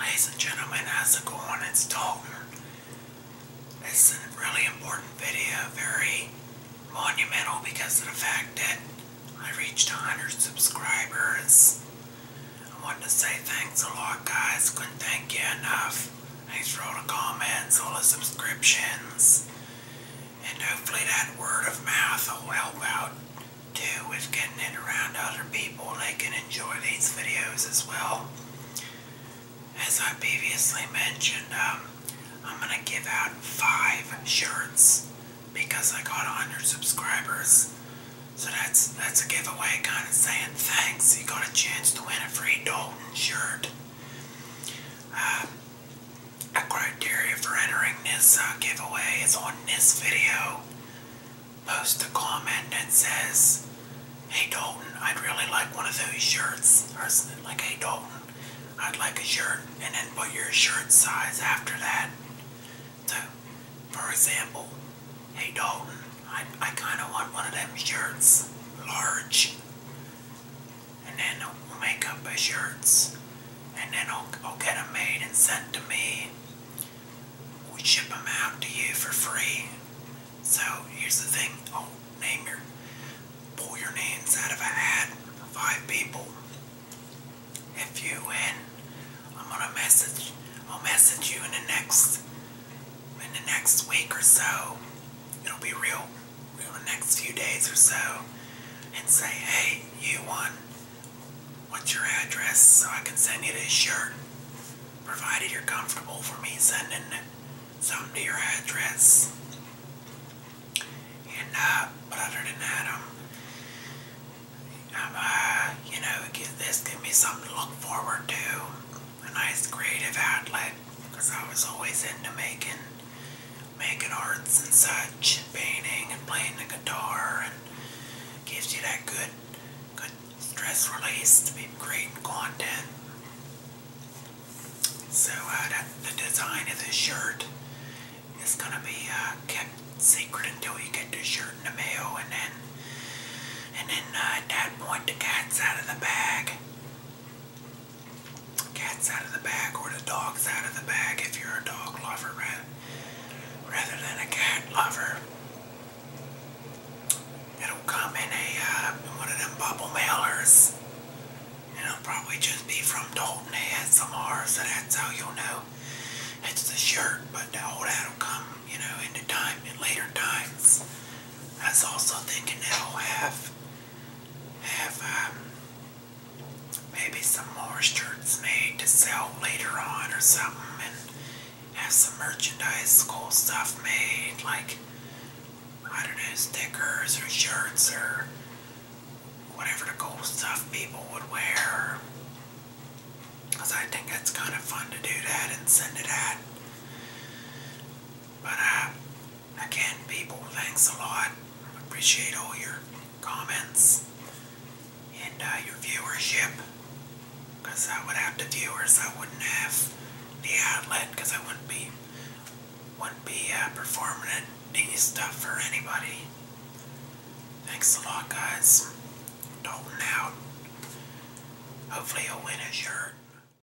Ladies and gentlemen, how's it going? It's Dalton. It's a really important video, very monumental because of the fact that I reached 100 subscribers. I wanted to say thanks a lot, guys. Couldn't thank you enough. Thanks for all the comments, all the subscriptions. And hopefully that word of mouth will help out do is getting it around other people. They can enjoy these videos as well. As I previously mentioned, um, I'm going to give out five shirts because I got a 100 subscribers. So that's that's a giveaway kind of saying thanks. You got a chance to win a free Dalton shirt. Um, a criteria for entering this uh, giveaway is on this video post a comment that says, Hey Dalton, I'd really like one of those shirts. Or something like, Hey Dalton, I'd like a shirt. And then put your shirt size after that. So, for example, Hey Dalton, I, I kind of want one of them shirts, large. And then we'll make up a shirts and then I'll, I'll get them made and sent to me. We ship them out to you for free. So here's the thing: I'll oh, name your pull your name inside of a hat. Five people. If you win, I'm gonna message. I'll message you in the next in the next week or so. It'll be real, real in the next few days or so, and say, hey, you won. What's your address so I can send you this shirt? Provided you're comfortable for me sending it some to your address. And uh, but other than that, I'm, uh, you know, this give me something to look forward to. A nice creative outlet, because I was always into making making arts and such, and painting and playing the guitar, and gives you that good, good stress release to be creating content. So uh, that, the design of this shirt is gonna be uh, kept secret until you get the shirt in the mail, and then, and then uh, at that point the cat's out of the bag cat's out of the bag or the dog's out of the bag if you're a dog lover rather than a cat lover. It'll come in a uh, one of them bubble mailers. it'll probably just be from Dalton ASMR, so that's how you'll know. It's the shirt, but all that'll come, you know, into time in later times. I was also thinking that'll have have uh, maybe some more shirts made to sell later on or something and have some merchandise, cool stuff made like, I don't know, stickers or shirts or whatever the cool stuff people would wear. Because I think it's kind of fun to do that and send it out. But uh, Again, people, thanks a lot. Appreciate all your comments and uh, your viewership. Because I would have the viewers, I wouldn't have the outlet, because I wouldn't be wouldn't be uh, performing any stuff for anybody. Thanks a lot, guys. Dalton out. Hopefully, you'll win a shirt.